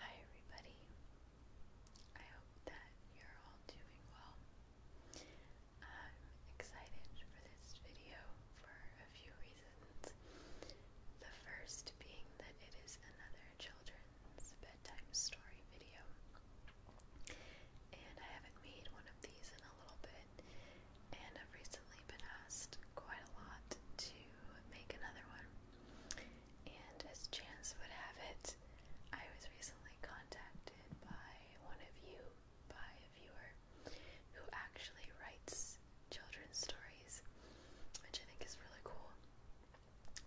Hi, everybody. I hope that you're all doing well. I'm excited for this video for a few reasons. The first being that it is another children's bedtime story video. And I haven't made one of these in a little bit. And I've recently been asked quite a lot to make another one. And as chance would have it, I was recently contacted by one of you, by a viewer, who actually writes children's stories, which I think is really cool.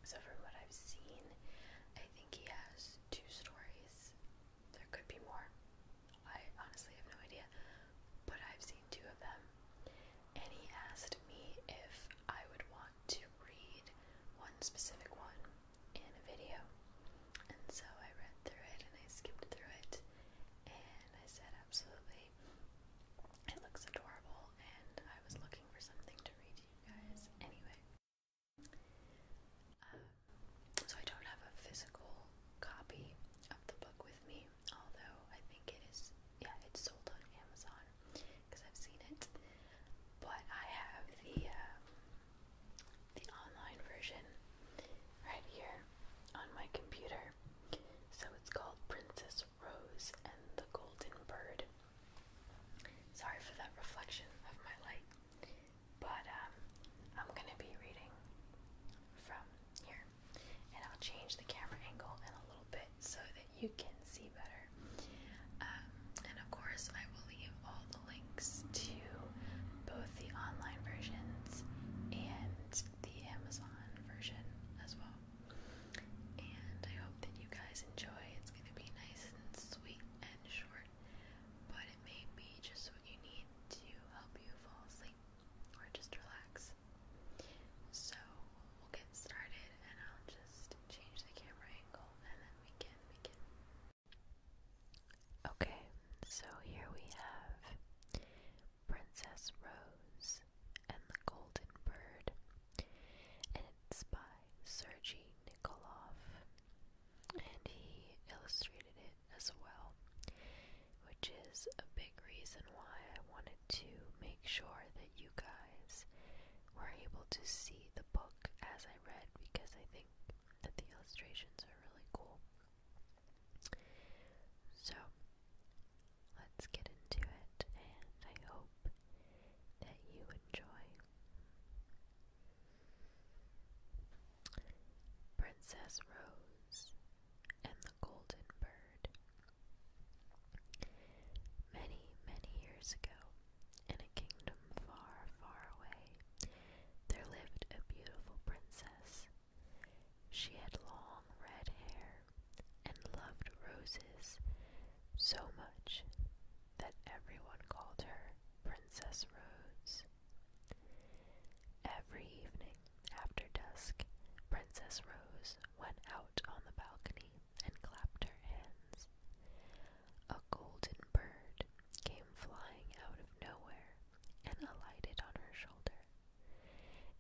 So, from what I've seen, I think he has two stories there could be more. I honestly have no idea. But I've seen two of them. And he asked me if I would want to read one specific one in a video. And so I read through it and I skipped through it. And I said, absolutely. It looks adorable. And I was looking for something to read to you guys anyway. Um, so I don't have a physical copy of the book with me, although I think it is, yeah, it's sold on Amazon because I've seen it. But I have the um, the online version right here on my computer. So it's called Princess Rose and the Golden Bird. Sorry for that reflection of my light, but um, I'm gonna be reading from here, and I'll change the camera angle in a little bit so that you can see better. Um, and of course, I will leave all the links to both the online versions and the Amazon version as well. And I hope that you guys enjoy. It's going to be nice and sweet and short, but it may be just what you need to help you fall asleep or just relax. So we'll get started and I'll just change the camera angle and then we can we can. Okay, so here we have Princess Rose and the Golden Bird and it's by Sergei Nikolov, and he illustrated it as well, which is a big reason why I wanted to make sure that you guys were able to see the book as I read because I think that the illustrations are really cool. So, let's get into it, and I hope that you enjoy. Princess Rose and the Golden Bird. Many, many years ago, in a kingdom far, far away, there lived a beautiful princess. She had long red hair and loved roses so much that everyone called her Princess Rose. Every evening after dusk, Princess Rose went out on the balcony and clapped her hands. A golden bird came flying out of nowhere and alighted on her shoulder.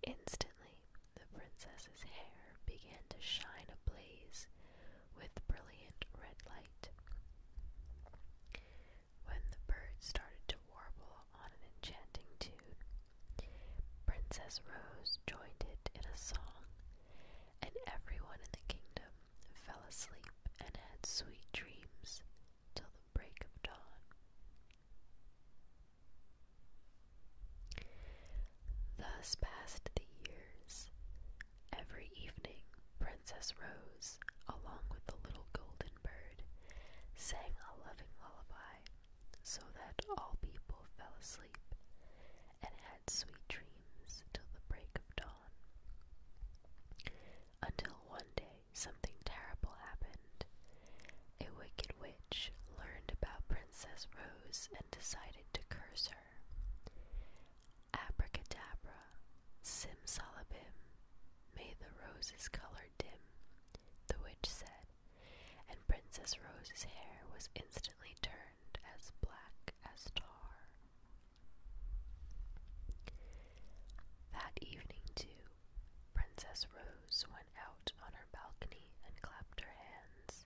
Instantly, the princess's hair began to shine a blaze, with brilliant red light. When the birds started to warble on an enchanting tune, Princess Rose joined it in a song, and everyone in the kingdom fell asleep and had sweet dreams till the break of dawn. Thus passed the years. Every evening, Princess Rose, along with the little golden bird, sang a loving lullaby so that all people fell asleep and had sweet dreams till the break of dawn. Until one day something terrible happened, a wicked witch learned about Princess Rose and decided to curse her. Abracadabra, simsalabim, may the rose's color dim, the witch said, and Princess Rose's hair was instantly turned as black as tar. That evening, too, Princess Rose went out on her balcony and clapped her hands.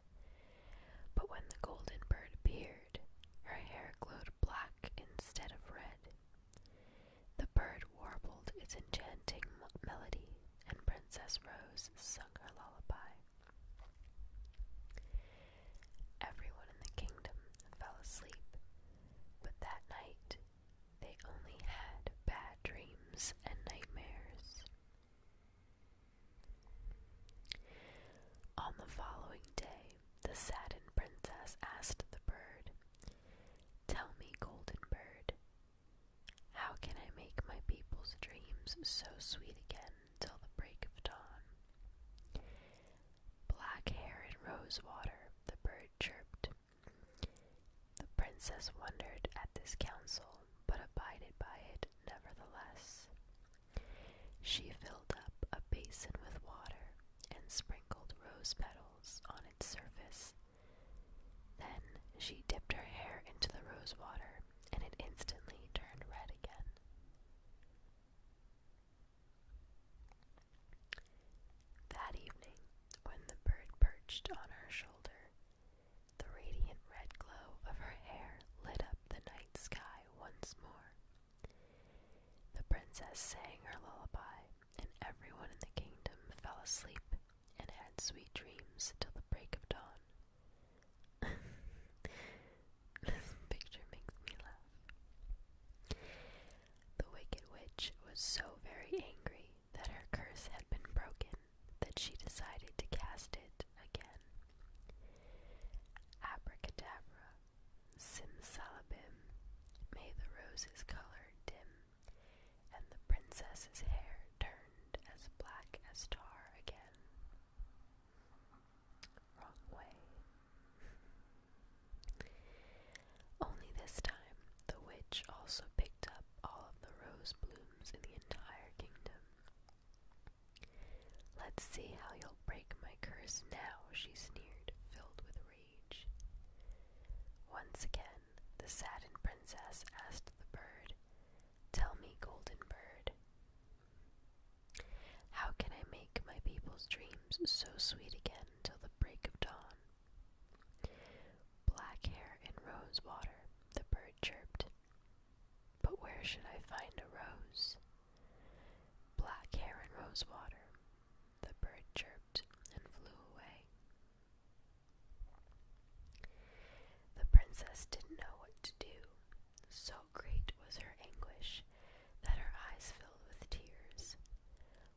But when the golden bird appeared, her hair glowed black instead of red. The bird warbled its enchanting melody, and Princess Rose sung her lullaby. Everyone in the kingdom fell asleep, but that night they only had bad dreams and nightmares. On the following day, the saddened princess asked the bird, Tell me, golden bird, how can I make my people's dreams so sweet again till the break of dawn? Black hair and rose water, the bird chirped. The princess wondered at this counsel, but abided by it nevertheless. She filled up a basin with water and sprinkled rose petals on its surface. Then she dipped her hair into the rose water, and it instantly turned red again. That evening, when the bird perched on her shoulder, the radiant red glow of her hair lit up the night sky once more. The princess sang her lullaby, and everyone in the kingdom fell asleep and had sweet dreams till the break of dawn. this picture makes me laugh. The wicked witch was so very angry that her curse had been broken that she decided to cast it again. Abracadabra, simsalabim, may the rose's color dim, and the princess's hair turned as black as tar again. Wrong way. Only this time, the witch also picked up all of the rose blooms in the entire kingdom. Let's see how you'll break my curse now, she sneered, filled with rage. Once again, the saddened princess asked the bird, Tell me, golden bird, how can I make my people's dreams so sweet again? till the break of dawn. Black hair and rose water, the bird chirped. But where should I find a rose? Black hair and rose water, the bird chirped and flew away. The princess didn't know what to do, so great was her anguish that her eyes filled with tears,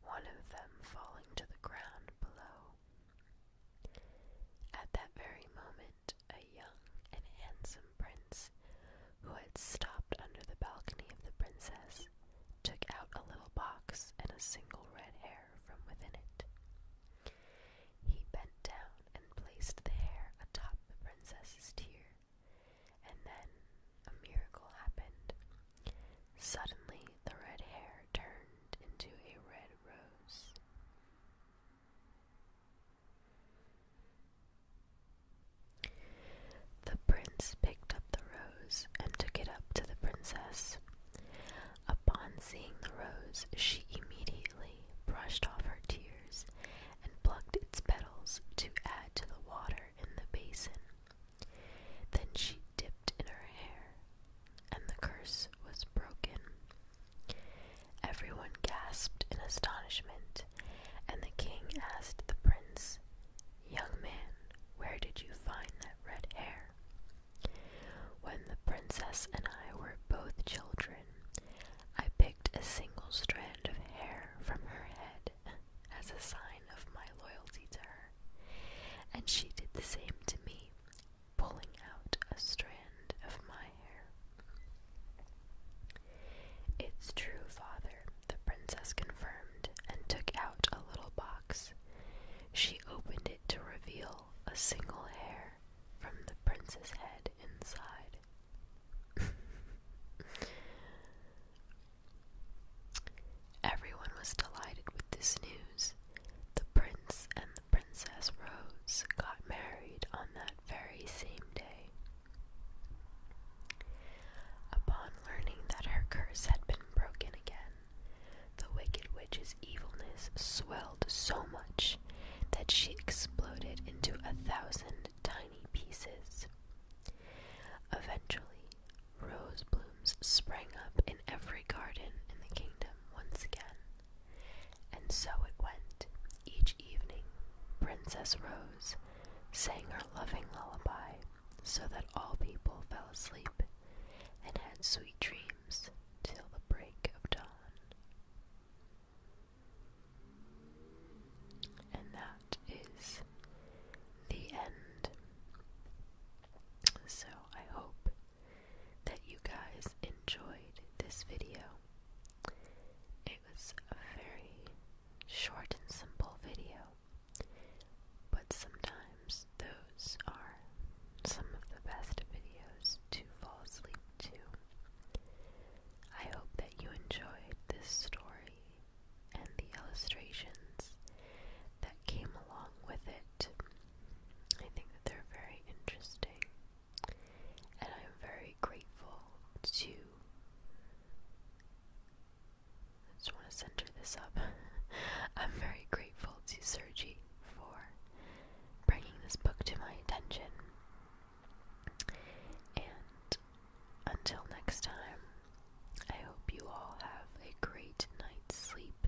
one of them falling to the ground below. At that very moment, a young and handsome prince, who had stopped under the balcony of the princess, took out a little box and a single red hair from within it. He bent down and placed the hair atop the princess's tear, and then a miracle happened. Suddenly, the red hair turned into a red rose. The prince picked up the rose and took it up to the princess. Upon seeing the rose, she immediately brushed off her tears and plucked its petals to add to the water in the basin. Then she dipped in her hair, and the curse was broken. Everyone gasped in astonishment, and the king asked the prince, Young man, where did you find that red hair? When the princess and I were both children, I picked a single strand of hair from her head as a sign of my loyalty to her, and she did the same to me, pulling out a strand of my hair. It's true, father, the princess confirmed, and took out a little box. She opened it to reveal a single hair from the princess's head inside. Everyone was delighted with this news. The prince and the princess Rose got married on that very same day. Upon learning that her curse had been broken again, the wicked witch's evilness swelled so much that she exploded into a thousand tiny pieces. Eventually, rose blooms sprang up in every garden in the kingdom once again. And so it went. Each evening, Princess Rose sang her loving lullaby so that all people fell asleep and had sweet dreams till the break of dawn. And that is the end. So I hope that you guys enjoyed this video. It was a very short and simple video, but sometimes those are some of the best videos to fall asleep to. I hope that you enjoyed this story and the illustrations that came along with it. I think that they're very interesting, and I'm very grateful to. just want to center this up. I'm very grateful to Sergi for bringing this book to my attention. And until next time, I hope you all have a great night's sleep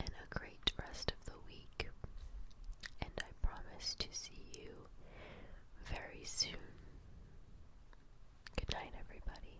and a great rest of the week. And I promise to see you very soon. Good night, everybody.